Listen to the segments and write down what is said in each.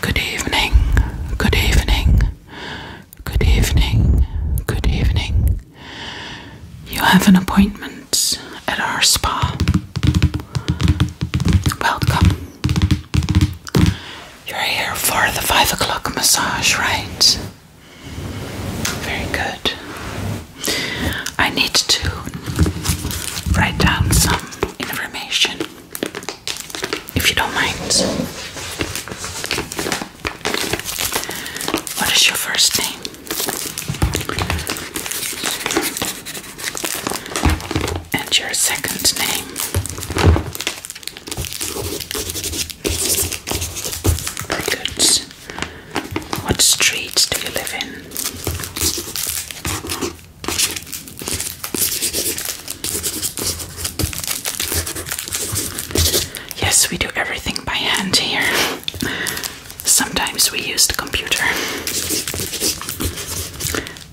Good evening, good evening, good evening, good evening. You have an appointment at our spa. Welcome. You're here for the five o'clock massage, right? Very good. I need to write down some information if you don't mind. What is your first name? And your second name? Very good. What streets do you live in? Yes, we do everything by hand here. Sometimes we use the computer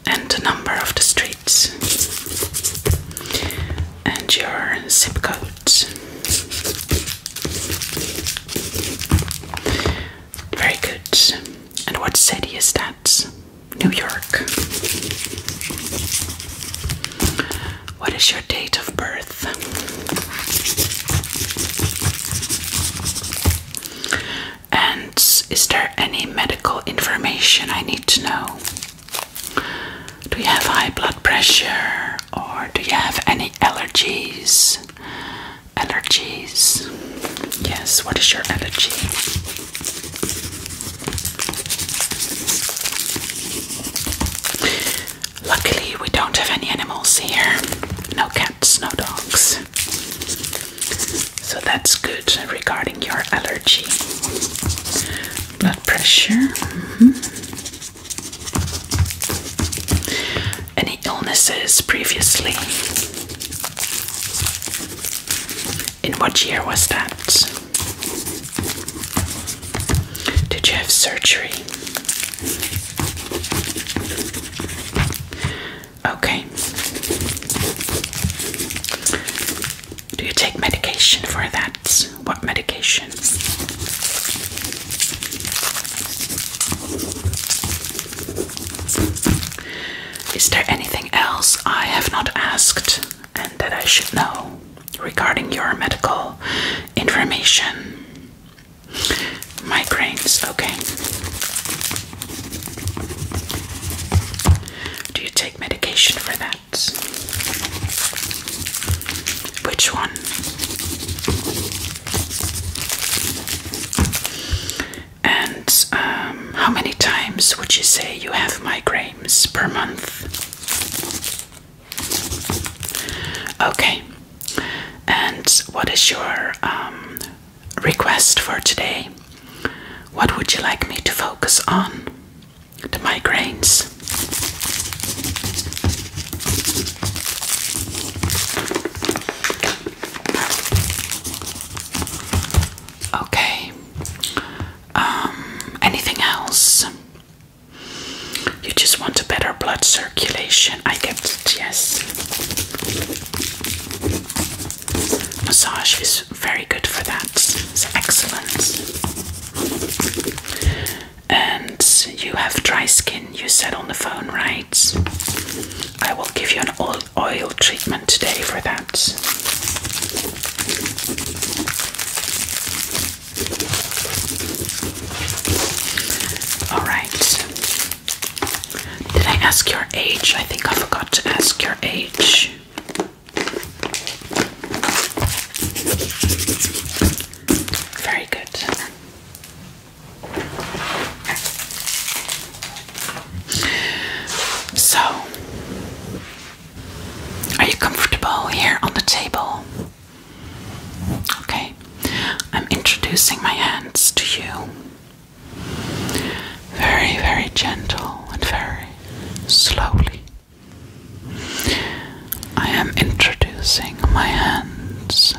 and the number of the streets and your zip code. Very good. And what city is that? New York. What is your date of birth? And is there any medical information I need to know? Do you have high blood pressure or do you have any allergies? Allergies. Yes, what is your allergy? Luckily, we don't have any animals here no cats, no dogs. So that's good regarding your allergy. Blood pressure. Mm-hmm. Any illnesses previously? In what year was that? Did you have surgery? Okay. Do you take medication for that? What medication? Is there anything else I have not asked and that I should know regarding your medical information? Migraines, okay. Do you take medication for that? Which one? And um, how many times would you say you have migraines per month? Okay. And what is your um, request for today? What would you like me to focus on? The migraines. Okay. Um, anything else? You just want a better blood circulation. I get it, yes. Massage is very good for that. It's excellent. And you have dry skin, you said on the phone, right? I will give you an all oil treatment today for that. Alright. Did I ask your age? I think I forgot to ask your age. Very good. So, are you comfortable here on the table? Okay, I'm introducing my hands to you. Very, very gentle and very slowly. I am introducing my hands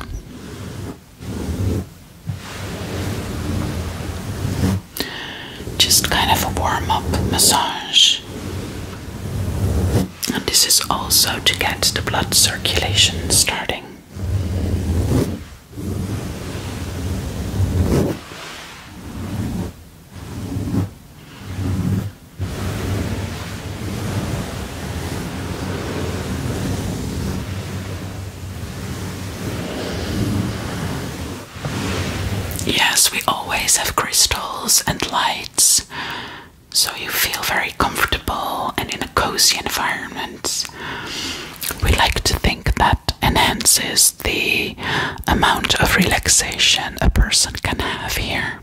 just kind of a warm up massage. And this is also to get the blood circulation starting. Yes, we always have crystals and lights, so you feel very comfortable and in a cozy environment. We like to think that enhances the amount of relaxation a person can have here.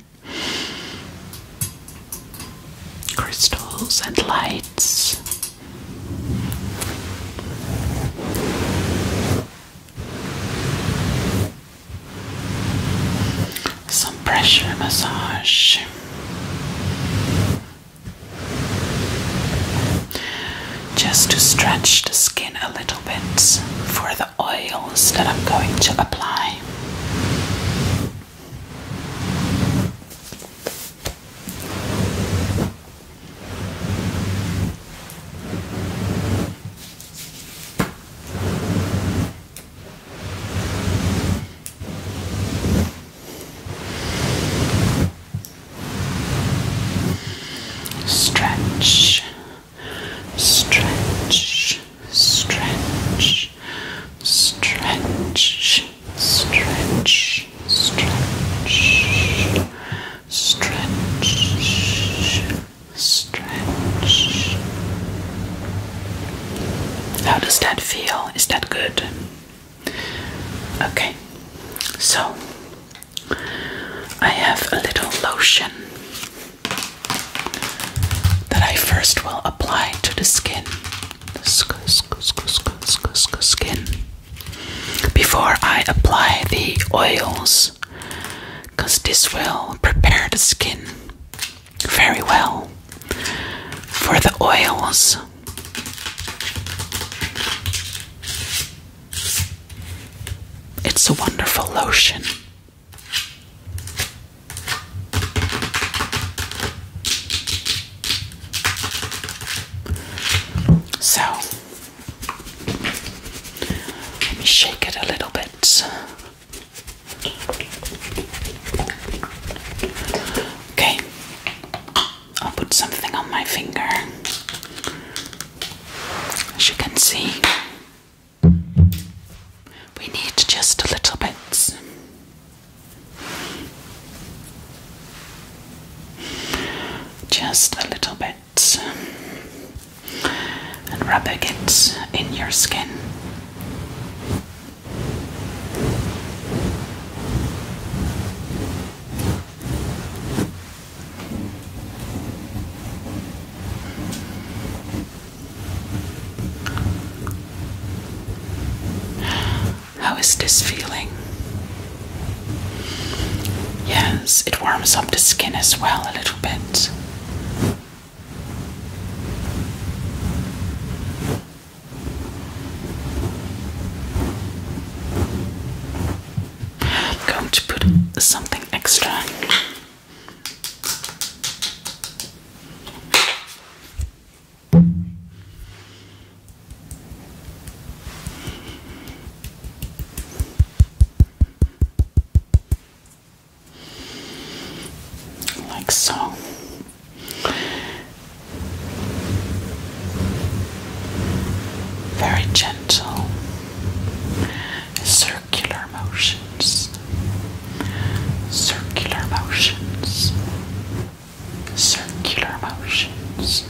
Crystals and lights. Some pressure massage. Just to stretch the skin a little bit for the oils that I'm going to apply. Stretch, stretch, stretch, stretch, stretch, stretch, stretch, stretch. How does that feel? Is that good? Okay, so I have a little lotion that I first will apply to the skin. Skin before I apply the oils because this will prepare the skin very well for the oils. It's a wonderful lotion. So let me shake it a little bit. Okay, I'll put something on my finger as you can see. We need just a little bit. Just a little bit. And rubbing it in your skin. How is this feeling? Yes, it warms up the skin as well a little bit. I'm going to put something extra like so. Very gentle circular motions, circular motions circular motions,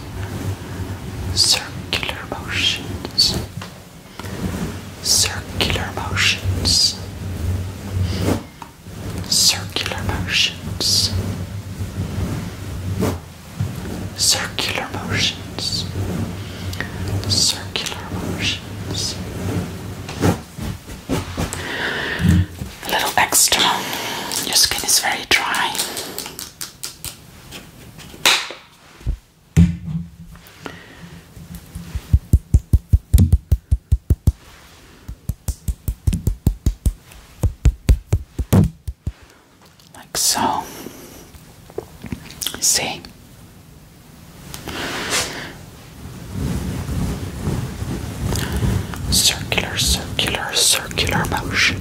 circular motions, circular motions, circular motions, circular motions, circular motions. A little extra. Your skin is very dry. Like so. See? Circular, circular, circular motion.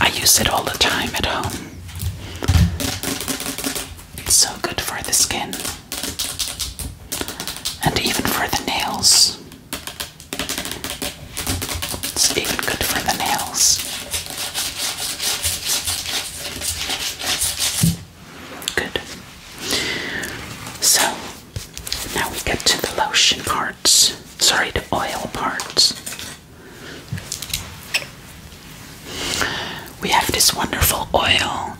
I use it all the time at home. It's so good for the skin and even for the nails. It's even good for the nails. Good. So now we get to the lotion parts. Sorry, the oil parts. We have this wonderful oil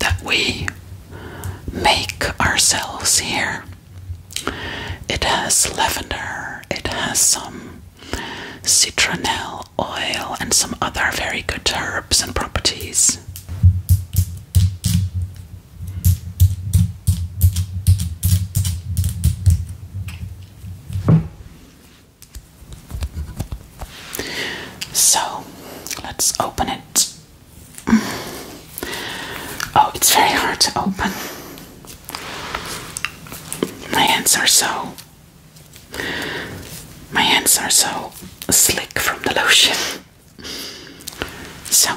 that we make ourselves here. It has lavender, it has some citronelle oil, and some other very good herbs and properties. So let's open it. Oh, it's very hard to open. My hands are so. My hands are so slick from the lotion. So,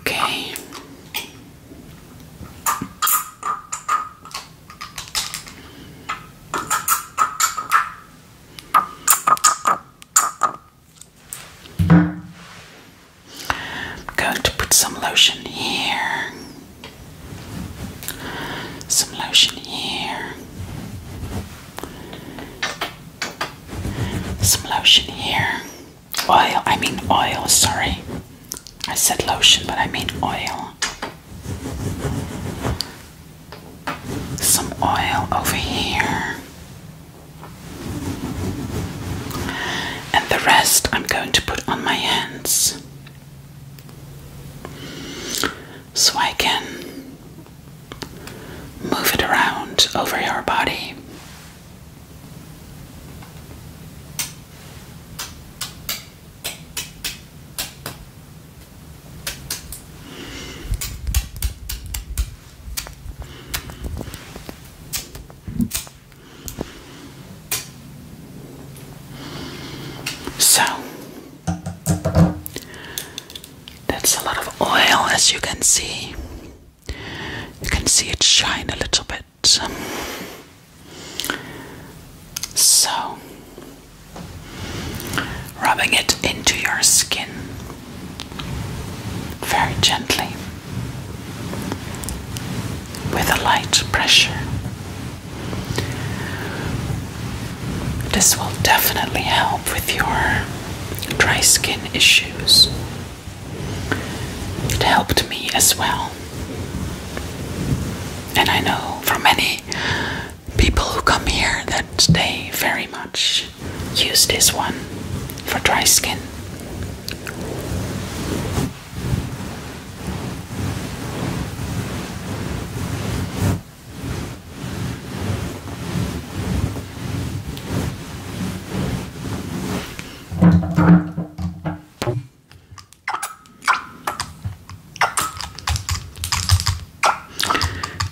Okay. I'm going to put some lotion here. Some lotion here. Some lotion here. Oil, I mean oil, sorry. I said lotion, but I mean oil. Some oil over here. And the rest I'm going to put on my hands. So I can move it around over your body. So that's a lot of oil as you can see. You can see it shine a little bit. So, rubbing it into your skin very gently with a light pressure. This will definitely help with your dry skin issues. It helped me as well. And I know from many people who come here that they very much use this one for dry skin.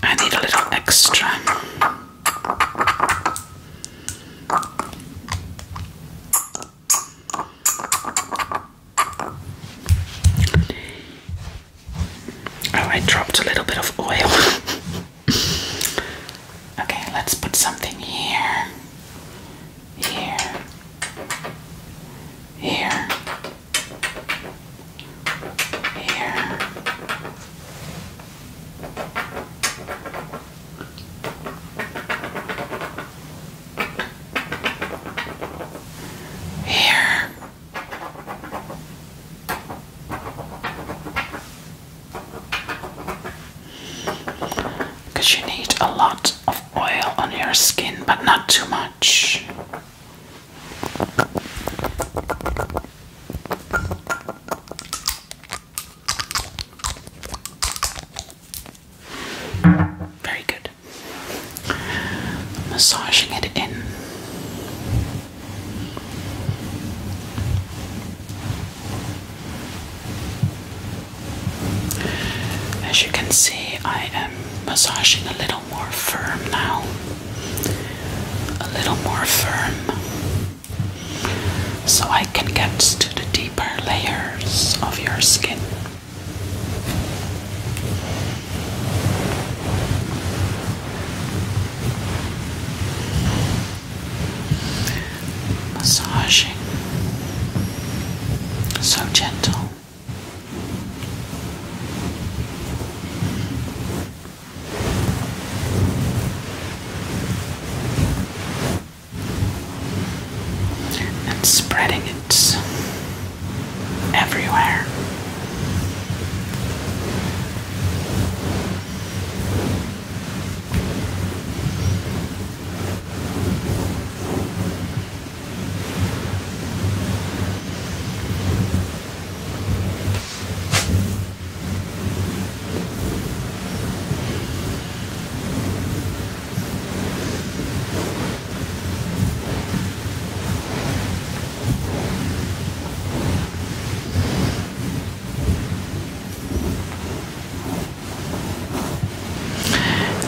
I need a little extra. Oh, I dropped a little bit of oil. okay, let's put something here, here, here, here. Here. Because you need a lot of oil on your skin, but not too much. Very good. Massaging it in. As you can see, I am massaging a little more firm now. A little more firm. So I can get to the deeper layers of your skin. Massaging so gentle and spreading it everywhere.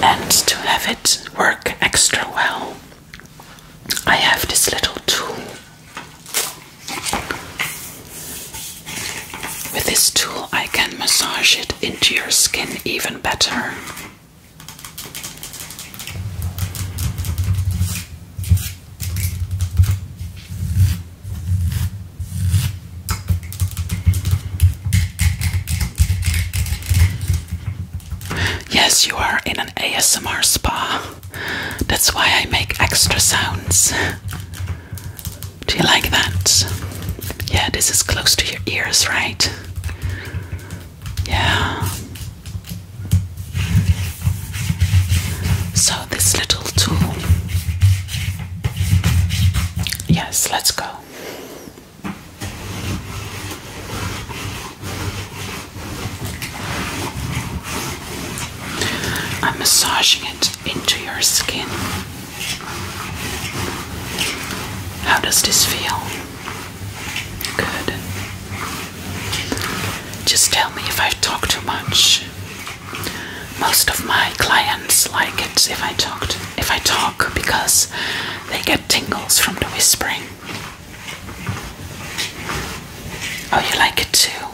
And to have it work extra well, I have this little tool. With this tool, I can massage it into your skin even better. Yes, you are in an ASMR spa. That's why I make extra sounds. Do you like that? Yeah, this is close to your ears, right? Yeah. So, this little tool. Yes, let's go. I'm massaging it into your skin. How does this feel? Good. Just tell me if i talk too much. Most of my clients like it if I talk if I talk because they get tingles from the whispering. Oh, you like it too?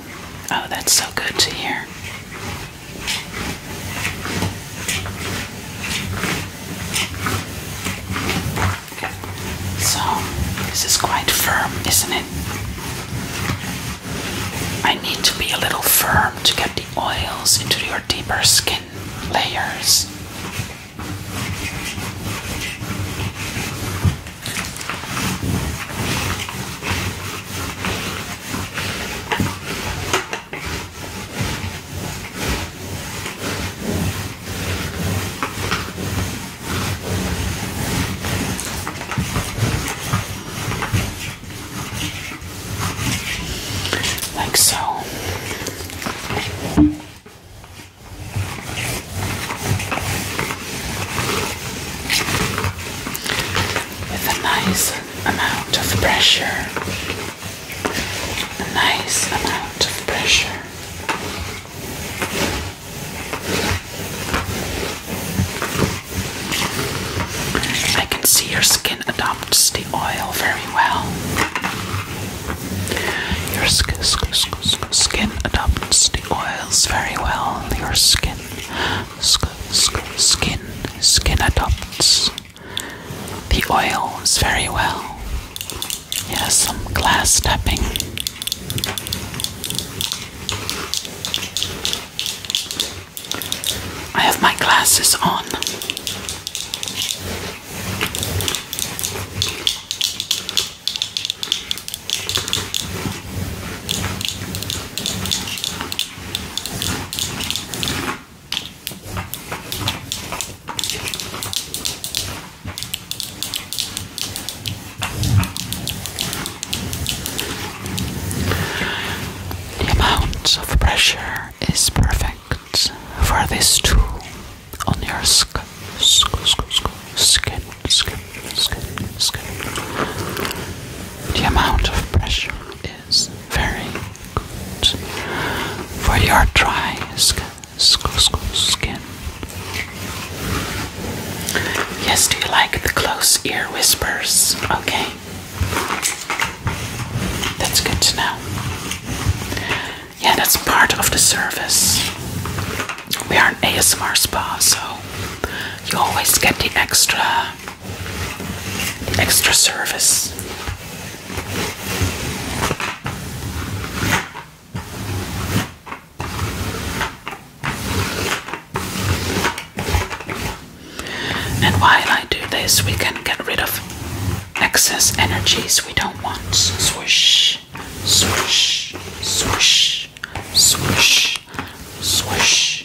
Oh, that's so good to hear. So, this is quite firm, isn't it? I need to be a little firm to get the oils into your deeper skin layers. Like so. With a nice amount of pressure a nice amount of pressure. I can see your skin adopts the oil very well. Your skin, skin adopts the oils very well. Your skin, skin, skin adopts the oil is very well. Yes, some glass tapping. I have my glasses on. The amount of pressure is perfect for this tool on your skin, skin, skin, skin, skin. The amount of pressure very good for your dry skin. Yes, do you like the close ear whispers? Okay. That's good to know. Yeah, that's part of the service. We are an ASMR spa, so you always get the extra Extra service. And while I do this, we can get rid of excess energies we don't want. Swish, swish, swish, swish, swish,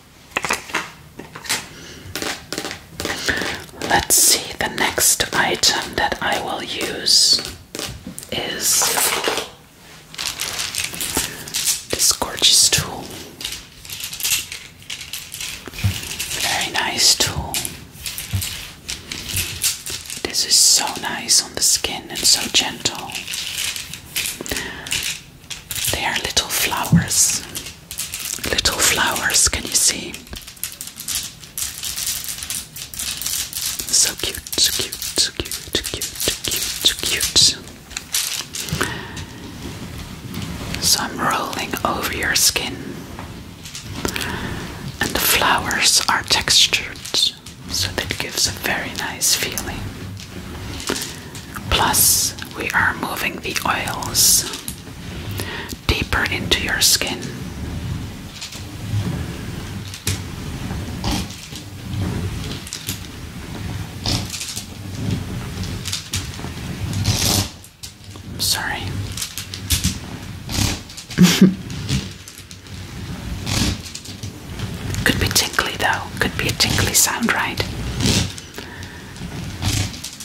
Let's see, the next item that I will use is this gorgeous tool. Very nice tool. This is so nice on the skin and so gentle. They are little flowers little flowers. Can you see? So cute, so cute, so cute, so cute, so cute, so I'm rolling over your skin, and the flowers are textured, so that gives a very nice feeling. Plus, we are moving the oils deeper into your skin. sorry. Could be tinkly though, could be a tinkly sound, right?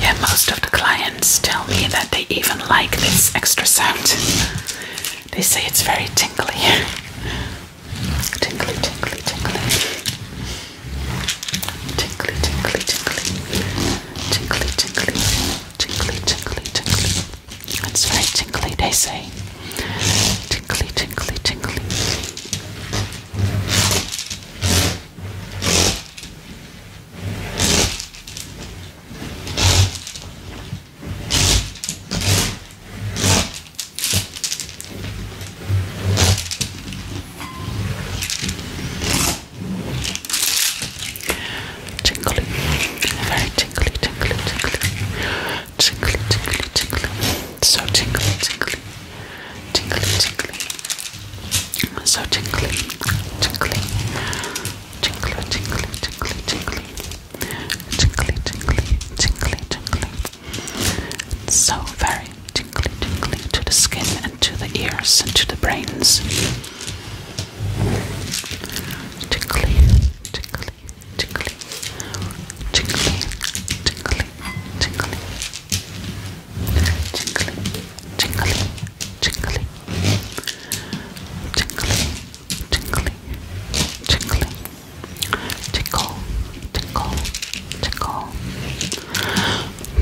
Yeah, most of the clients tell me that they even like this extra sound. They say it's very tinkly. Tingly, tingly, tingly. Tingly, tingly, tingly. Tinkly, tinkly, tinkly, tinkly, tinkly. It's very tinkly, they say. Tinkly, tinkly, tinkly. Tingly, very tingly, tingly, tingly, tingly, tingly, tingly, so tingly, tingly, tingly, tingly, so tingly, tingly, tingly, tingly, tingly, tingly, tingly, tingly, tingly, tingly, so very tingly, tingly to the skin and to the ears and to the brains. Tickly, tickly, tickly, tickly, tickly, tickly, tickly, tickly, tickly, tickly, tickly, tickly, tickle, tickle,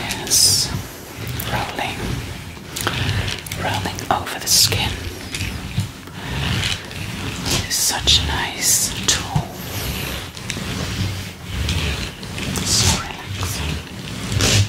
Yes, rolling, rolling over the skin. It's such a nice tool. So relaxing.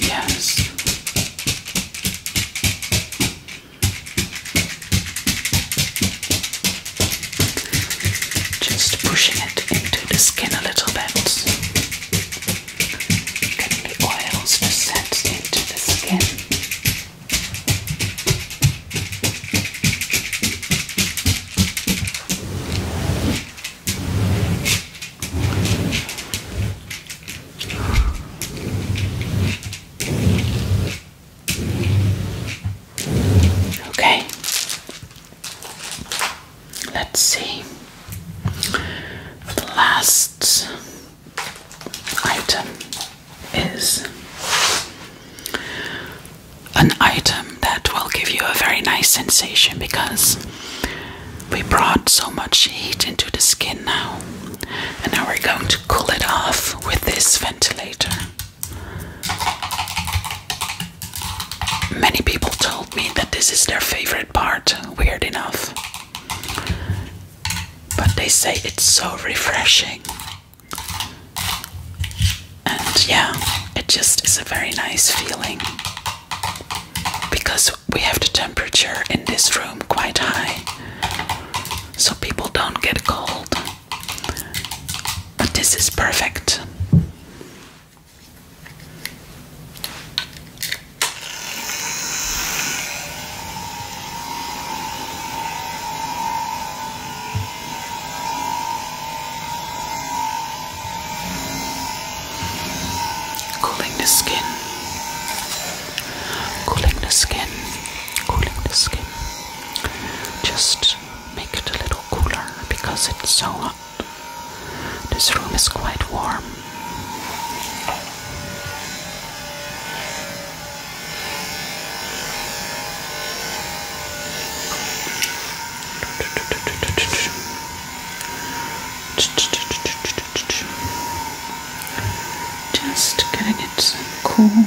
Yes. Just pushing it into the skin a little bit. Getting the oils to set into the skin. Okay, let's see the last item is an item that will give you a very nice sensation because we brought so much heat into the skin now, and now we're going to cool it off with this ventilator. Many people told me that this is their favorite part, weird enough. But they say it's so refreshing. And yeah, it just is a very nice feeling. Because we have the temperature in this room quite high, so people don't get cold. But this is perfect. Cooling the skin. Cooling the skin. Cooling the skin. Just make it a little cooler because it's so hot. This room is quite warm. Just getting it some cool.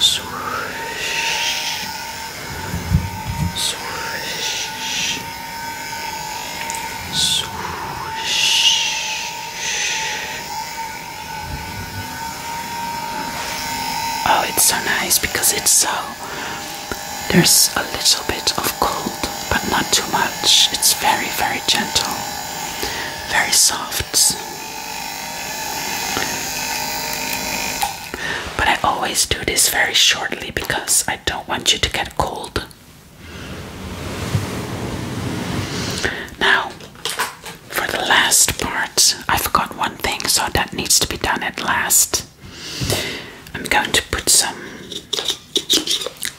Swish. Swish. Swish. Oh, it's so nice because it's so. There's a little bit of cold, but not too much. It's very, very gentle very soft. But I always do this very shortly because I don't want you to get cold. Now, for the last part, I forgot one thing, so that needs to be done at last. I'm going to put some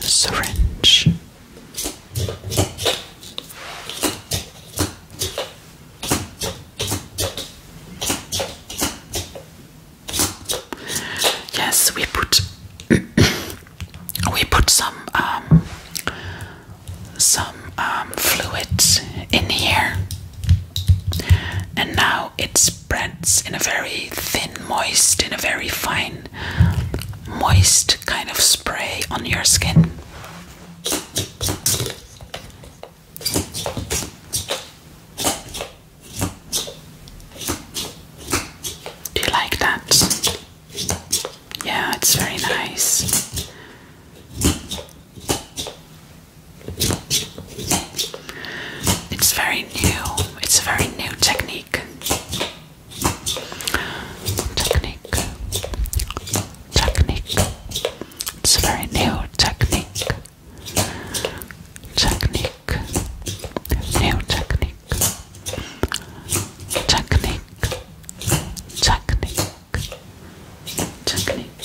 syringe, Yes, we put we put some um, some um, fluid in here, and now it's spreads in a very thin, moist, in a very fine, moist kind of spray on your skin. Do you like that? Yeah, it's very nice. It's very new. It's a very new technique. Technique. Technique. It's a very new technique. Technique. New technique. Technique. Technique. Technique.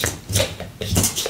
Technique.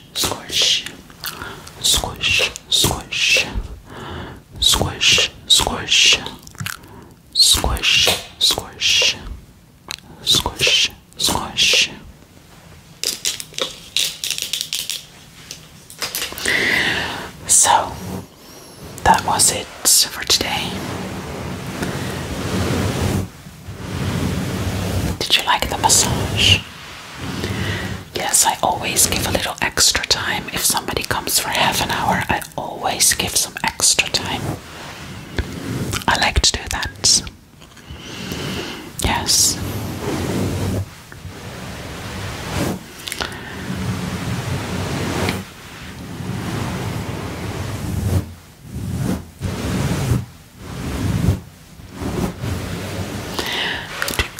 squish, squish, squish, squish, squish, squish, squish, squish, squish. So that was it for today. Did you like the massage? Yes, I always give a little extra time. If somebody comes for half an hour, I always give some extra time. I like to do that. Yes.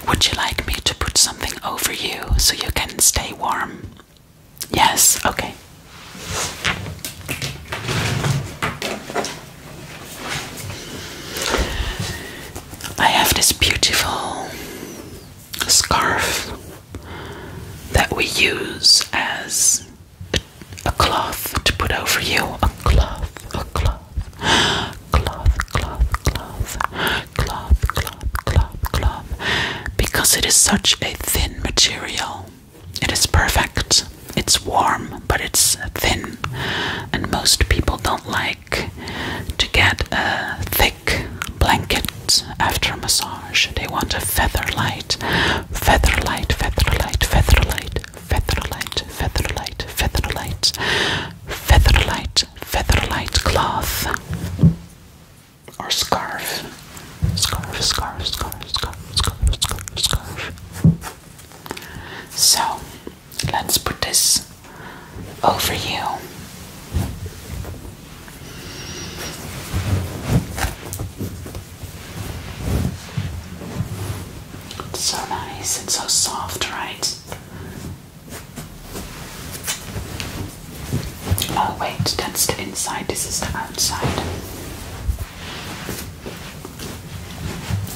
Would you like me to put something over you so you can stay warm? Yes, okay. I have this beautiful scarf that we use as a, cloth to put over you. A cloth, a cloth cloth, cloth, cloth, cloth, cloth, cloth, cloth. Because it is such a thin material, it is perfect. It's warm, but it's thin, and most people don't like to get a thick blanket after a massage. They want a feather light, feather light, feather light, feather light, feather light, feather light, feather light, featherlight, featherlight cloth or scarf. Scarf, scarf, scarf, scarf, scarf, scarf, scarf. So let's put this over you. so nice and so soft, right? Oh wait, that's the inside, this is the outside.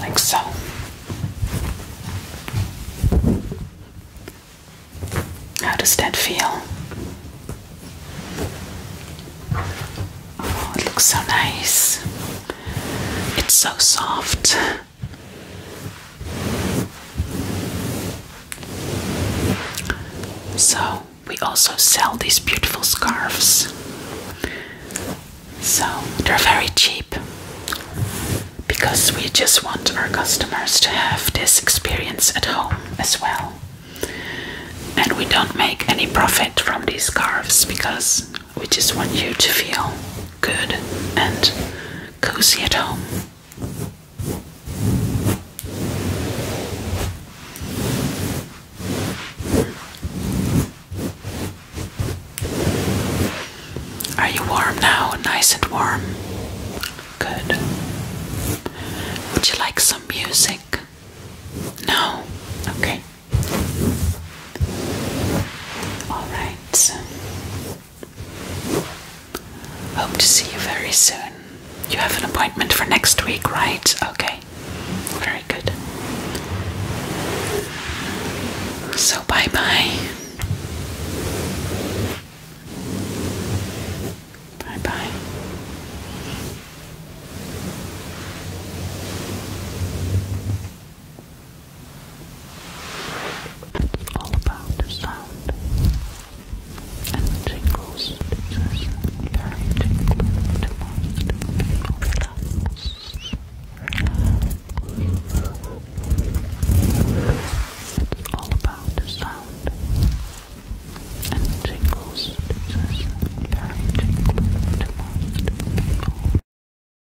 Like so. How does that feel? Oh, it looks so nice. It's so soft. So, we also sell these beautiful scarves. So, they're very cheap because we just want our customers to have this experience at home as well. And we don't make any profit from these scarves because we just want you to feel good and cozy at home. Are you warm now? Nice and warm? Good. Would you like some music? No? Okay. All right. Hope to see you very soon. You have an appointment for next week, right? Okay, very good. So, bye bye. Bye bye all about the sound and the tingles. It's very tingling to most people. It's all about the sound and the tingles. It's very tingling to most people.